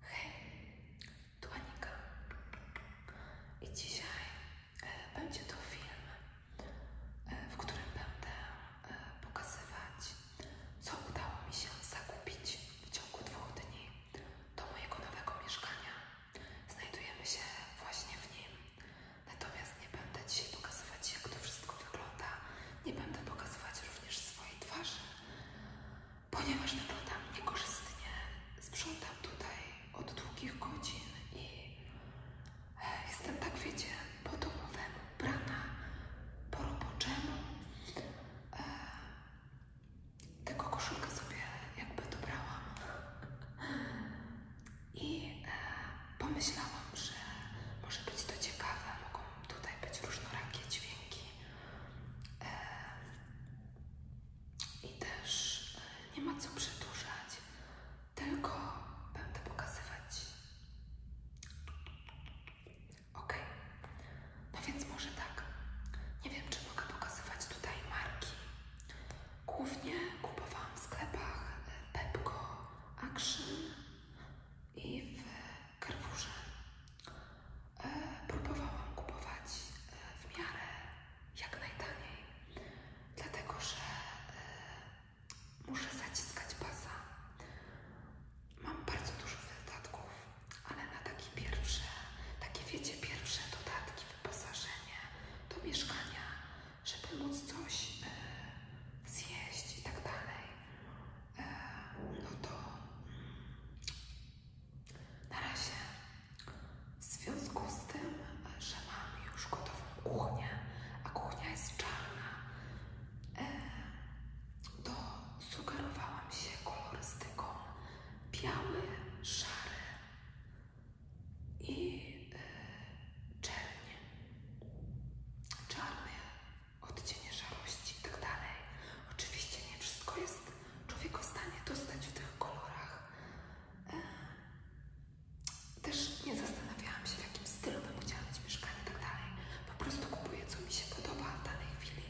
Hej, tu Anika. I dzisiaj e, będzie to film, e, w którym będę e, pokazywać, co udało mi się zakupić w ciągu dwóch dni do mojego nowego mieszkania. Znajdujemy się właśnie w nim. Natomiast nie będę dzisiaj pokazywać, jak to wszystko wygląda. Nie będę pokazywać również swojej twarzy, ponieważ wyglądam niekorzystnie. Sprzątam tutaj od długich godzin i eh, jestem tak, wiecie, po domowemu, ubrana po roboczemu. Eh, tego koszulka sobie jakby dobrałam. I eh, pomyślałam, że może być to ciekawe, mogą tutaj być różnorakie dźwięki i też e, nie ma co przedłużać, tylko będę pokazywać. Ok, no więc może tak. Nie wiem, czy mogę pokazywać tutaj marki. Głównie kupowałam w sklepach e, Pepco, Action i w Carrefourze e, próbowałam kupować e, w miarę jak najtaniej, dlatego że e, muszę zaciskać pasa. Mam bardzo dużo dodatków, ale na takie pierwsze, takie wiecie, pierwsze dodatki, wyposażenie do mieszkania, żeby móc coś zjeść i tak dalej, no to mm, na razie, w związku z tym, że mam już gotową kuchnię, a kuchnia jest czarna, e, to sugerowałam się kolorystyką biały, szary i e, czernie. Czarne odcienie szarości itd. Tak Oczywiście nie wszystko jest człowiek w stanie dostać w tych kolorach. E, też nie zastanawiałam się, w jakim stylu bym chciała mieć mieszkanie i tak dalej. Po prostu kupuję, co mi się podoba w danej chwili.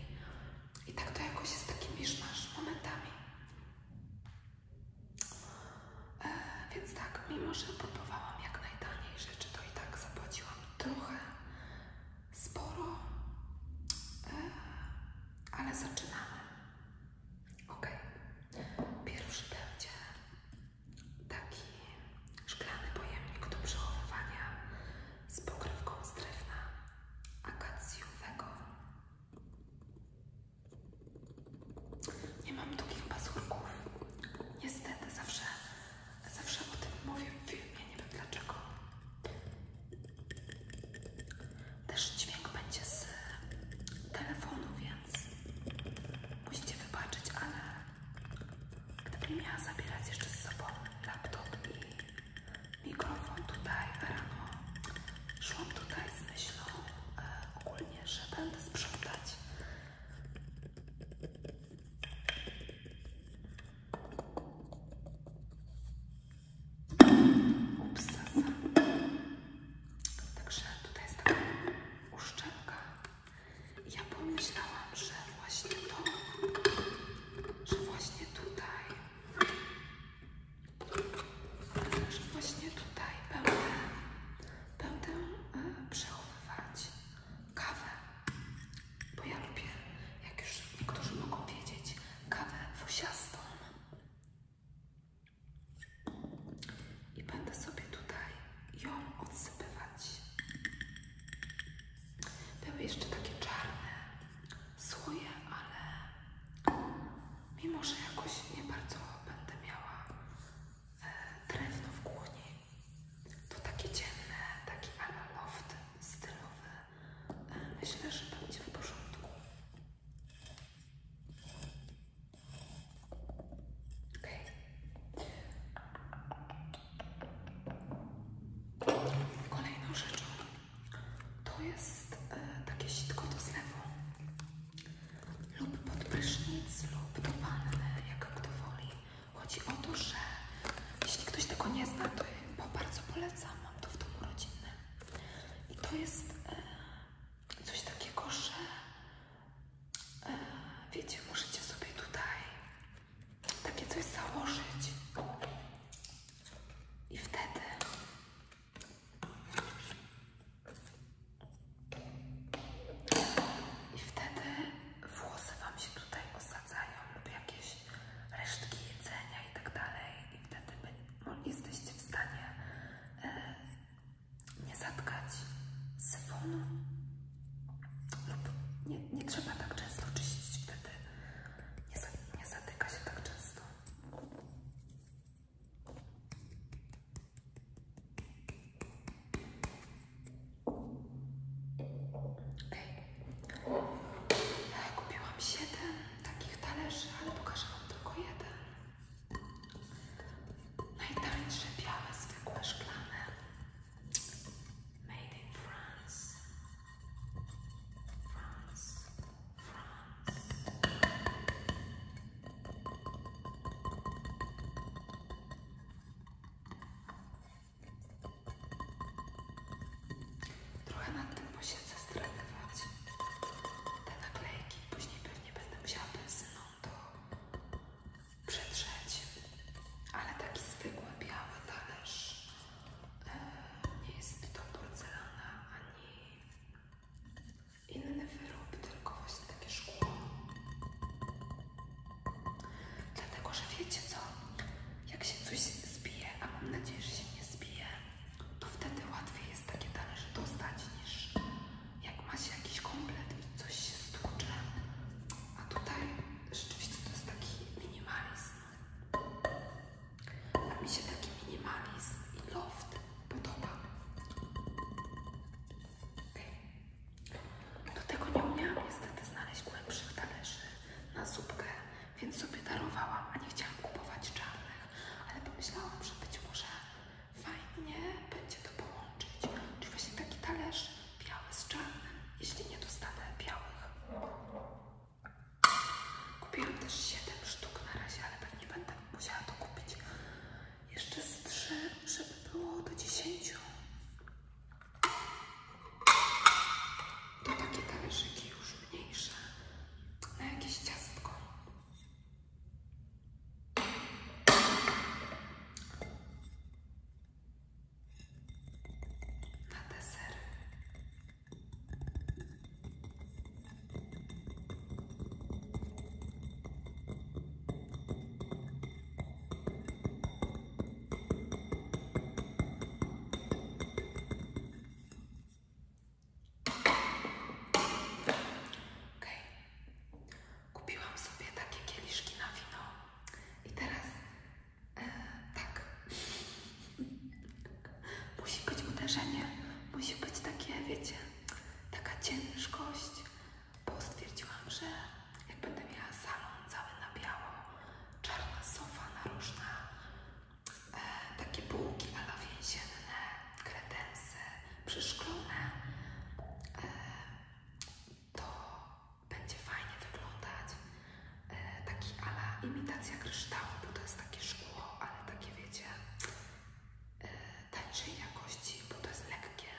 I tak to jakoś jest taki miszmasz momentami. E, więc tak, mimo że próbowałam jak najtaniej rzeczy, to i tak zapłaciłam trochę sporo, e, ale zaczynamy. Ok, pierwszy będzie taki szklany pojemnik do przechowywania z pokrywką z drewna akacjowego. Nie mam długich pazurków. Niestety, zawsze, zawsze o tym mówię w filmie, nie wiem dlaczego. Też dźwięk będzie z telefonu, więc musicie wybaczyć, ale gdybym miała zabierać jeszcze z sobą laptop i mikrofon tutaj rano, szłam tutaj z myślą e, ogólnie, że będę sprzątać. Upsasa. Także tutaj jest taka uszczelka. Ja pomyślałam, że właśnie to, że właśnie tutaj, że właśnie tutaj będę, będę e, przechowywać kawę. Bo ja lubię, jak już niektórzy mogą wiedzieć, kawę fusiastą. I będę sobie tutaj ją odsypywać. Były jeszcze takie czarne słoje, ale mimo, że jakoś nie bardzo będę miała e, drewno w kuchni, to takie dzienny, taki ala loft stylowy myślę, że będzie w porządku. Ok. Kolejną rzeczą to jest e, takie sitko do zlewu lub pod lub do wanny, jak kto woli. Chodzi o to, że jeśli ktoś tego nie zna, to po bardzo polecam mam to w domu rodzinnym. I to jest e, coś takiego, że e, wiecie, możecie sobie tutaj takie coś założyć. I wtedy i wtedy włosy Wam się tutaj osadzają rozsadzają lub jakieś resztki jedzenia i tak dalej i wtedy by, no, w stanie e, nie zatkać syfonu lub nie, trzeba tak często czyścić wtedy nie, za, zatyka się tak często Okay. Kupiłam 7 takich talerzy, ale pokażę Wam tylko jeden. Najtańsze białe, zwykłe, szklane. Made in France. France. France. Trochę nad tym posiedzę strenować te naklejki. Później pewnie będę musiała benzyną to przetrzeć. Ale taki zwykły biały talerz. E, nie jest to porcelana ani inny wyrób, tylko właśnie takie szkło. Dlatego, że wiecie co? Jak się coś zbije, a mam nadzieję, że się nie zbije, to wtedy łatwiej jest takie talerze dostać niż jak ma się jakiś komplet i coś się stłucze. A tutaj rzeczywiście to jest taki minimalizm. A mi się taki minimalizm i loft podoba. Okay. Do tego nie umiałam niestety znaleźć głębszych talerzy na zupkę więc sobie darowałam, a nie chciałam kupować czarnych, ale pomyślałam, że być może fajnie będzie to połączyć. Czyli właśnie taki talerz biały z czarnym, jeśli nie dostanę białych. Kupiłam też 7 sztuk na razie, ale pewnie będę musiała to kupić jeszcze z 3, żeby było do 10. To takie talerzyki już mniejsze na jakieś ciastko. Na deser. Ok. Kupiłam sobie takie kieliszki na wino. I teraz e, tak. Musi być uderzenie. Musi być takie, wiecie, taka ciężkość. Bo stwierdziłam, że jak będę miała salon cały na biało, czarna sofa na narożna, takie bułki ala więzienne, kredensy przeszklone, e, to będzie fajnie wyglądać. E, taki ala imitacja kryształu, bo to jest takie szkło, ale takie wiecie, e, tańszej jakości, bo to jest lekkie.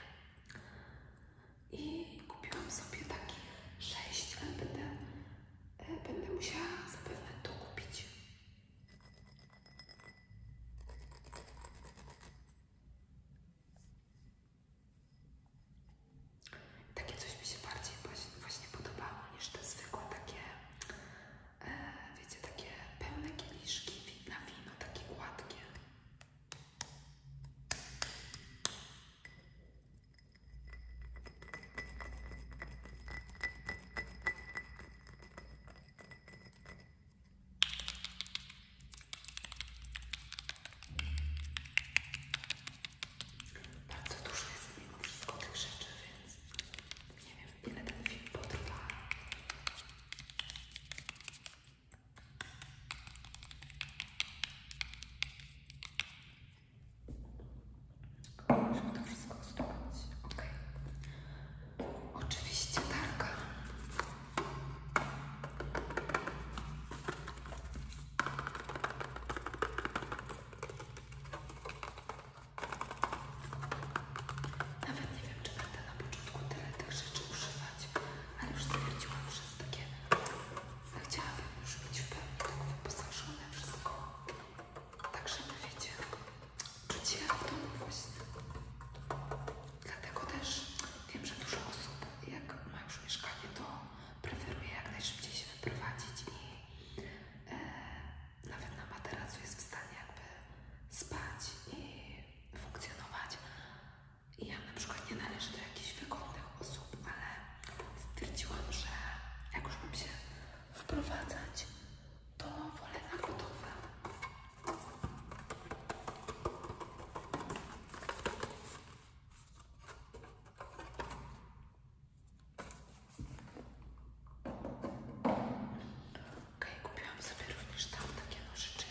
I kupiłam sobie taki 6, ale będę E, będę musiała zapewne to kupić. Takie coś mi się bardziej właśnie podobało niż te zwykłe takie, e, wiecie, takie pełne kieliszki na wino, takie gładkie. Bardzo dużo jest mimo wszystko tych rzeczy, więc nie wiem ile ten film potrwa. Żeby to wszystko uzdrowić. Ok. Oczywiście targa. Nawet nie wiem, czy będę na początku tyle tych rzeczy używać, ale już stwierdziłam, że jest takie... Chciałabym już być w pełni tak wyposażone wszystko. Tak, żeby wiecie, czuć się w domu właśnie. Dlatego też wiem, że dużo osób, jak ma już mieszkanie, to preferuje jak najszybciej się wyprowadzić i e, nawet na materacu jest w stanie jakby spać i funkcjonować. ja na przykład nie należę do jakichś wygodnych osób, ale stwierdziłam, że jak już bym się wprowadzać, to wolę na gotowe. Ok, kupiłam sobie również tam takie nożyczki.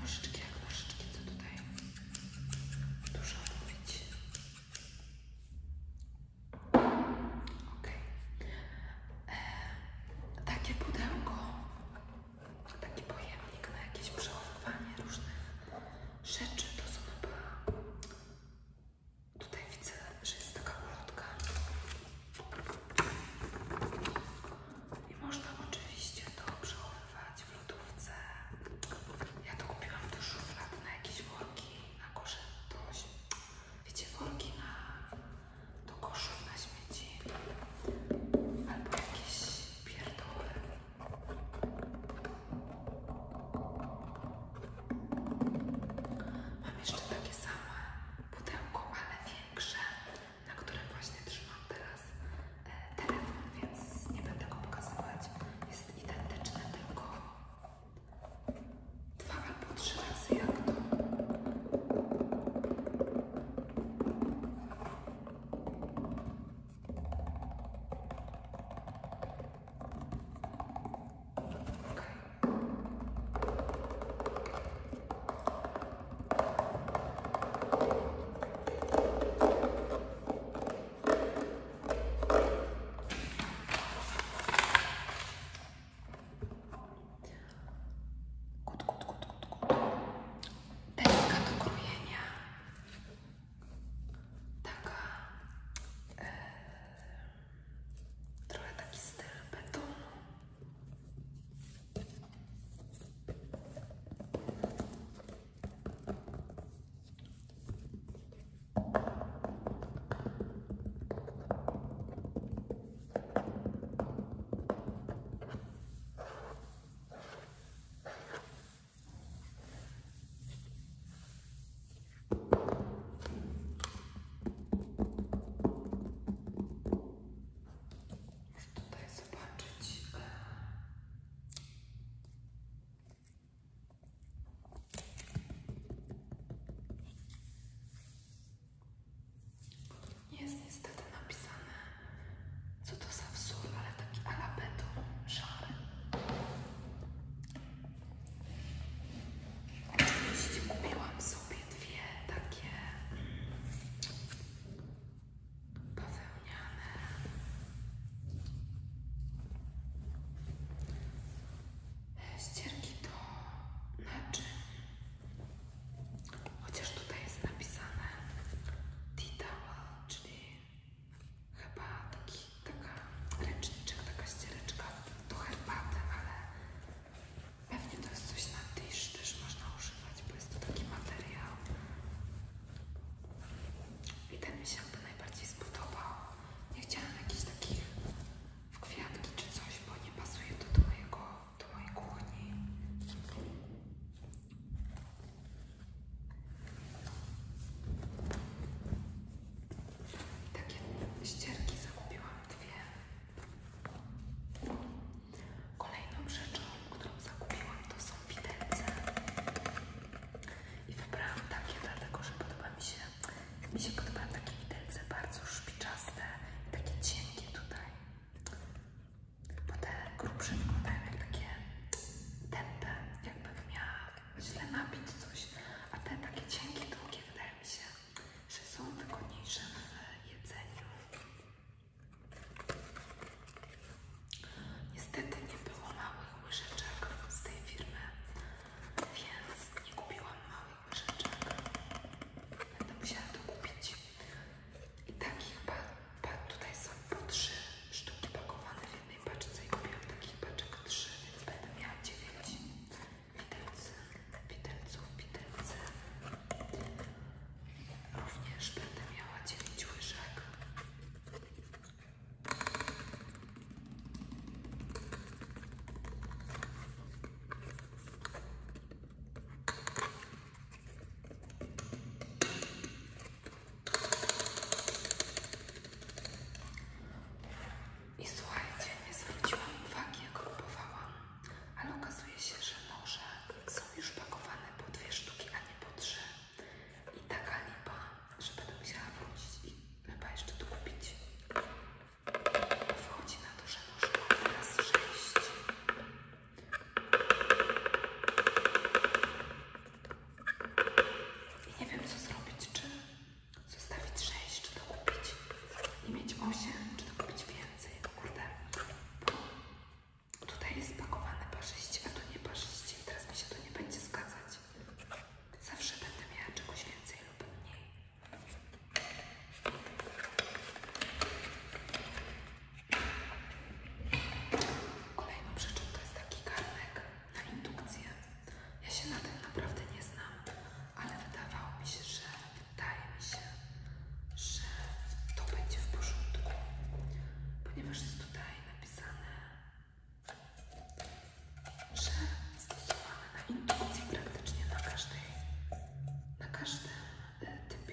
Nożyczki jak nożyczki, co tutaj dużo mówić. Okej. Okay. E, takie pudełko, taki pojemnik na jakieś przechowywanie różnych rzeczy to są chyba... Tutaj widzę, że jest taka ulotka. I można oczywiście to przechowywać w lodówce. Ja to kupiłam do szuflad na jakieś worki, na kosze, to, wiecie, worki na, do koszów na śmieci albo jakieś pierdoły. Mam jeszcze takie same pudełko, ale większe, na którym właśnie trzymam teraz e, telefon, więc nie będę go pokazywać. Jest identyczne, tylko dwa albo trzy razy jak to. Kut, kut, kut, kut, kut. Deska do krojenia taka e, trochę taki styl betonu. Muszę tutaj zobaczyć. Jest niestety napisane, co to za wzór, ale taki ala beton, Oczywiście kupiłam sobie dwie takie bawełniane. Ścierki do naczyń. Chociaż tutaj jest napisane Titała, czyli Chyba taki, taka ręczniczek, taka ściereczka do herbaty, ale pewnie to jest coś na dysz, też można używać, bo jest to taki materiał. I ten mi się by najbardziej spodobał. Nie chciałam jakichś takich w kwiatki czy coś, bo nie pasuje to do, mojego, do mojej kuchni. Takie ścierki zakupiłam dwie. Kolejną rzeczą, którą zakupiłam, to są widelce. I wybrałam takie, dlatego że podoba mi się. Mi się podobają takie widelce bardzo szpiczaste, takie cienkie tutaj. Bo te grubsze wyglądają jak takie tępe, jakbym miała tak źle napić coś, a te takie cienkie, długie wydaje mi się, że są wygodniejsze w jedzeniu. Niestety nie było małych łyżeczek z tej firmy, więc nie kupiłam małych łyżeczek. Będę musiała to kupić. I takich, pa, pa, tutaj są po trzy sztuki pakowane jednej paczce i kupiłam takich paczek 3, więc będę miała 9 widelcy, widelców, widelce. Również będę miała 9 łyżek. I słuchajcie, nie zwróciłam uwagi, jak próbowałam, ale okazuje się, że noże są już pakowane po dwie sztuki, a nie po trzy. I taka lipa, że będę musiała wrócić i chyba jeszcze to kupić. Wchodzi na to, że noże ma teraz sześć. I nie wiem, co zrobić, czy Zostawić 6, czy to kupić i mieć 8, czy to kupić więcej. Kurde, bo tutaj jest pakowane parzyście, a tu nie parzyście i teraz mi się to nie będzie zgadzać. Zawsze będę miała czegoś więcej lub mniej. Kolejną rzeczą to jest taki garnek na indukcję. Ja się na tym naprawdę nie znam, ale wydawało mi się, że wydaje mi się, że to będzie w porządku, ponieważ jest tutaj napisane, że stosowane na indukcji praktycznie na każdej, na każdym e, typie.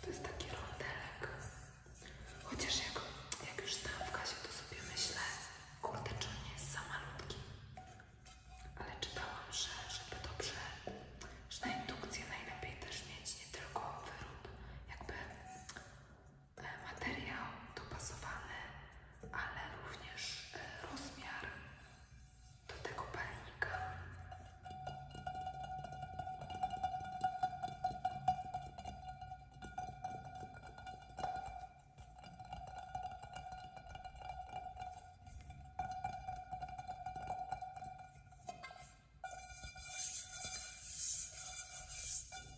To jest taki rondelek. Chociaż jak, już stałam w Kasie, to sobie myślę, kurde, czy nie jest za Ale czytałam, że żeby dobrze, że na indukcję najlepiej też mieć nie tylko wyrób jakby materiał dopasowany, ale również e, rozmiar tego palnika.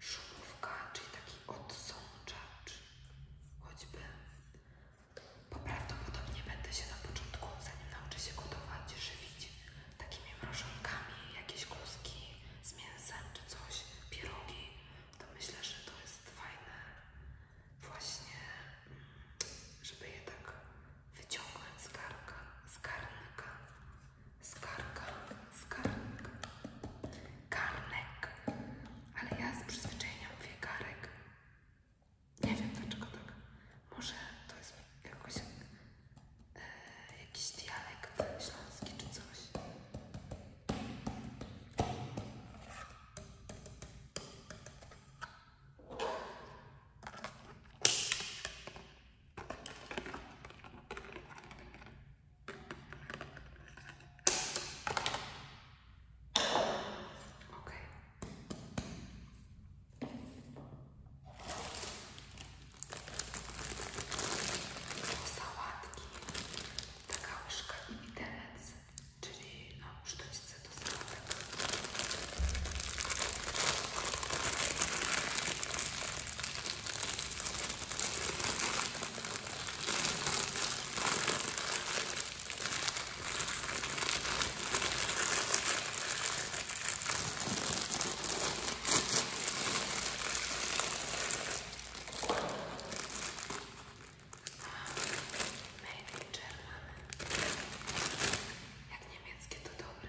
szumówka, czyli taki odsączacz choćby. Bo prawdopodobnie będę się na początku, zanim nauczę się gotować, żywić takimi mrożonkami, jakieś kluski z mięsem czy coś, pierogi, to myślę, że to jest fajne właśnie, mm, żeby je tak wyciągnąć z garnka, z garnka Skarka, skarnik, karnek, ale ja z przyzwyczajeniem mówię karek. Nie wiem dlaczego tak. Może to jest jakoś e, jakiś dialekt śląski czy coś. Okay. Sałatki, taka łyżka i widelec, czyli no, sztućce do sałatek. Maybe German. Jak niemieckie to dobre.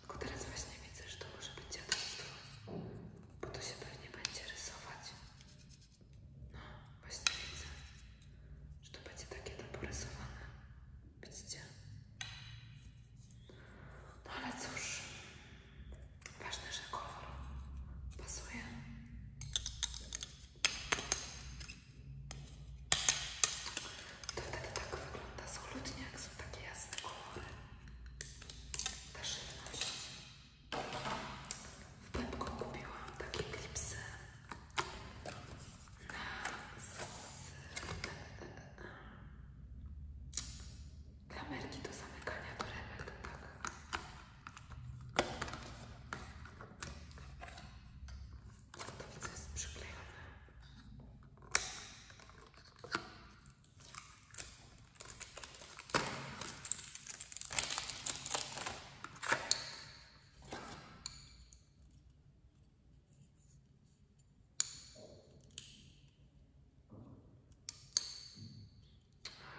Tylko teraz właśnie widzę, że to może być dziadostwo, bo to się pewnie będzie rysować. No, właśnie widzę, że to będzie takie to porysowane. Widzicie? No ale cóż, ważne, że kolor pasuje. To wtedy tak wygląda solutnie, jak są takie jasne kolory. Ta żywność. W Pepko kupiłam takie klipsy z klamerki do zamykania torebek, tak. To widzę jest przyklejone.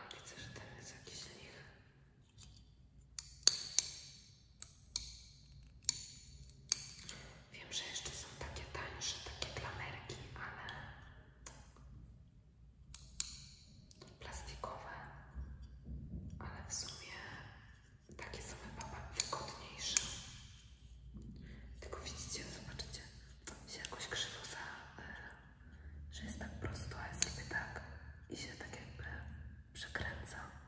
Widzę, że ten jest jakiś lich. Wiem, że jeszcze są takie tańsze, takie klamerki, ale plastikowe, ale w sumie takie są chyba wygodniejsze. Tylko widzicie, zobaczycie, się jakoś krzywo za, e, że jest tak prosto, a ja zrobię tak i się tak jakby przekręca.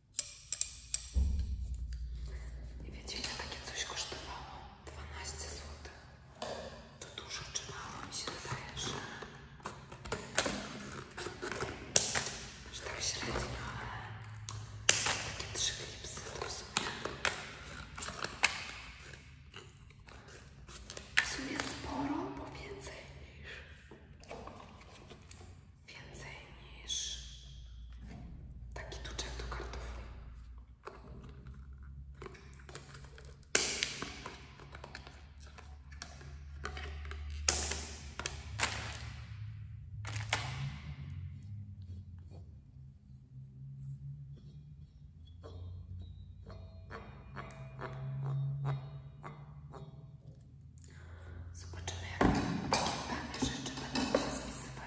I wiecie, ile coś kosztowało? 12 zł. To dużo czy mało mi się wydaje, że, że tak średnio, ale takie trzy klipsy to w sumie. W sumie sporo, bo więcej niż więcej niż taki tuczek do kartofli. Zobaczymy, jak takie rzeczy będą się spisywać.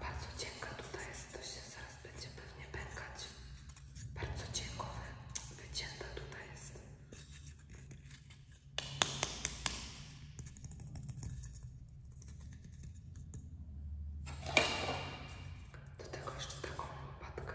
bardzo cienka tutaj jest, to się zaraz będzie pewnie pękać. Bardzo cienko wycięta tutaj jest. Do tego taką łopatkę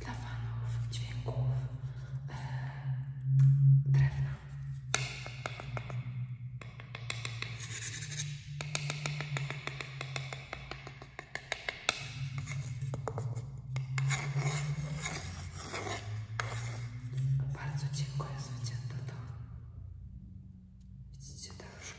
dla fanów dźwięków e, drewna. Bardzo dziękuję jest wycięte to. Widzicie ta różka?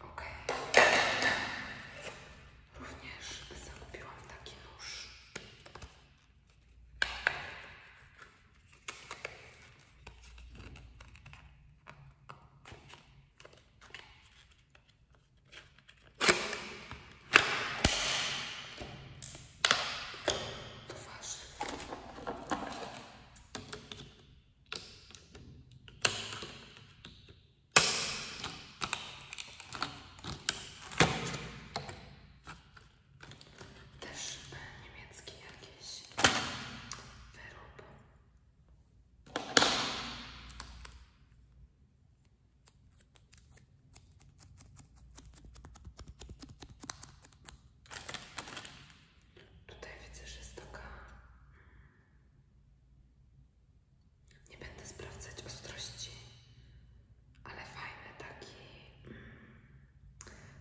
Ok. Również zakupiłam taki nóż. Twarz. Też niemiecki jakiś wyrób. Tutaj widzę, że jest taka nie będę sprawdzać ostrości, ale fajne taki, mm,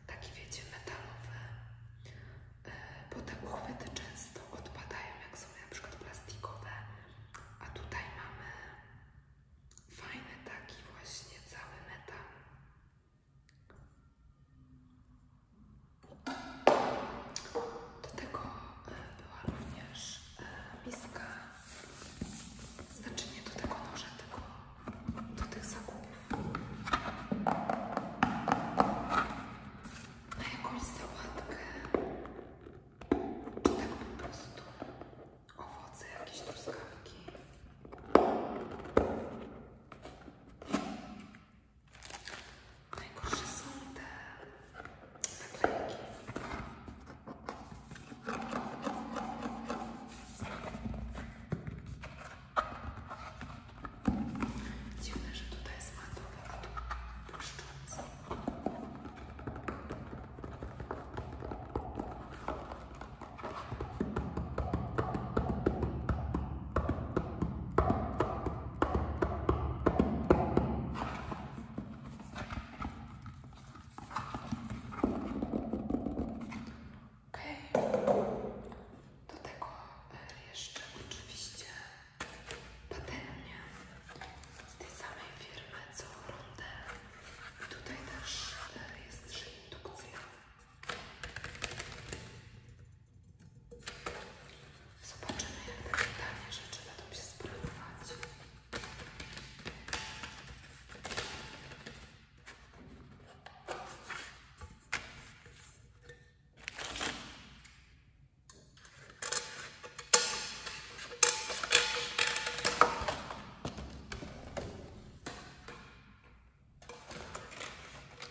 taki wiecie, metalowe. bo te uchwyty często odpadają, jak są np. plastikowe, a tutaj mamy fajny taki właśnie cały metal. Do tego e, była również e, miska, znaczy nie do tego noża, tego, do tych zakupów. Na jakąś sałatkę, czy tak po prostu owoce, jakieś truskawki. Najgorsze są te naklejki. Dziwne, że tutaj jest matowe, a tu błyszczące. Dobra, Okay. Do tego e, jeszcze oczywiście patelnia tej samej firmy co rondę. I tutaj też e, jest indukcja. Zobaczymy, jak takie tanie rzeczy będą się sprawować.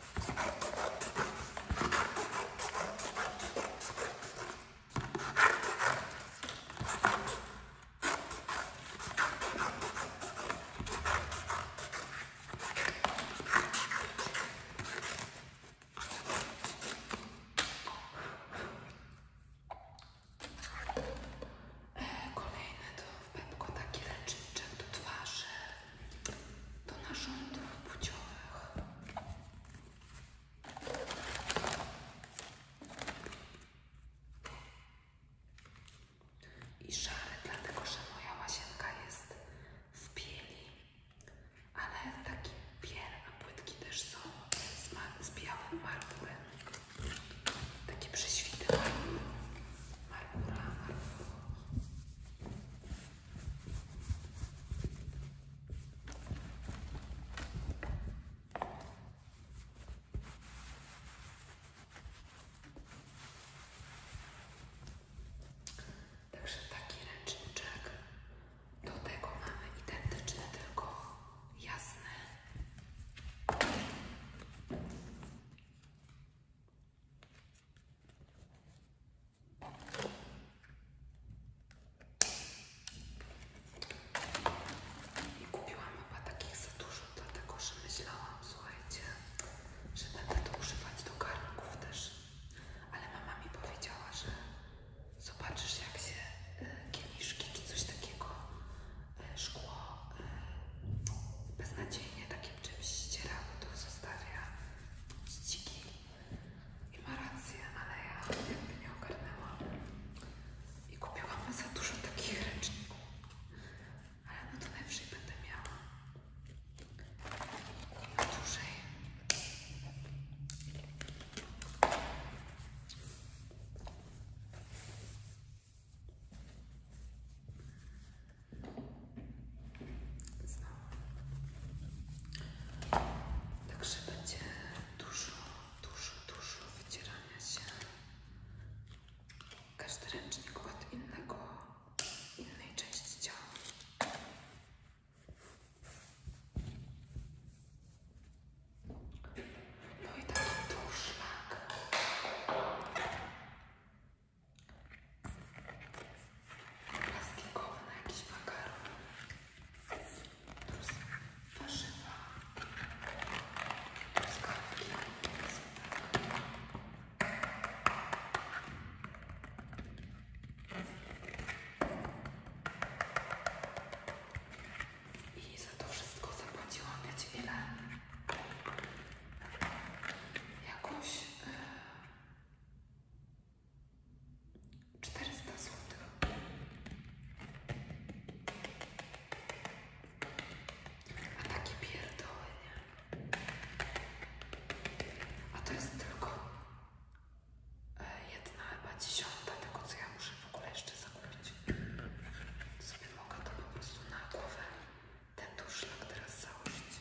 Kolejne to w pępku taki leczniczek do twarzy do narządów płciowych. I szary, dlatego że moja łazienka jest w bieli, ale taki biel, a płytki też są z, z białym marmurem. Takie prześwity marmura, marmura. Także taki ręczniczek. Do tego mamy identyczne tylko jasny. I kupiłam mama takich za dużo, dlatego że myślałam, słuchajcie, że będę to używać do garnków też. Ale mama mi powiedziała, że zobaczysz jak się y, kieliszki czy coś takiego, y, szkło y, beznadziejnie takim czymś ścierało, to zostawia ścigi i ma rację, ale ja jakby nie ogarnęłam. I kupiłam za dużo takich ręczników. Ale no to najwyżej będę miała. Także będzie dużo, dużo, dużo wycierania się. Każdy ręcznik od innego, innej części ciała. No i taki duszlak plastikowe na jakiś makaron plus warzywa plus kawki i za to wszystko zapłaciłam wiecie ile? Jakąś yy, e, 400 zł. A takie pierdoły, A to jest tylko e, jedna chyba dziesiąta tego, co ja muszę w ogóle jeszcze zakupić. Sobie mogę to po prostu na głowę ten duszlak teraz założyć.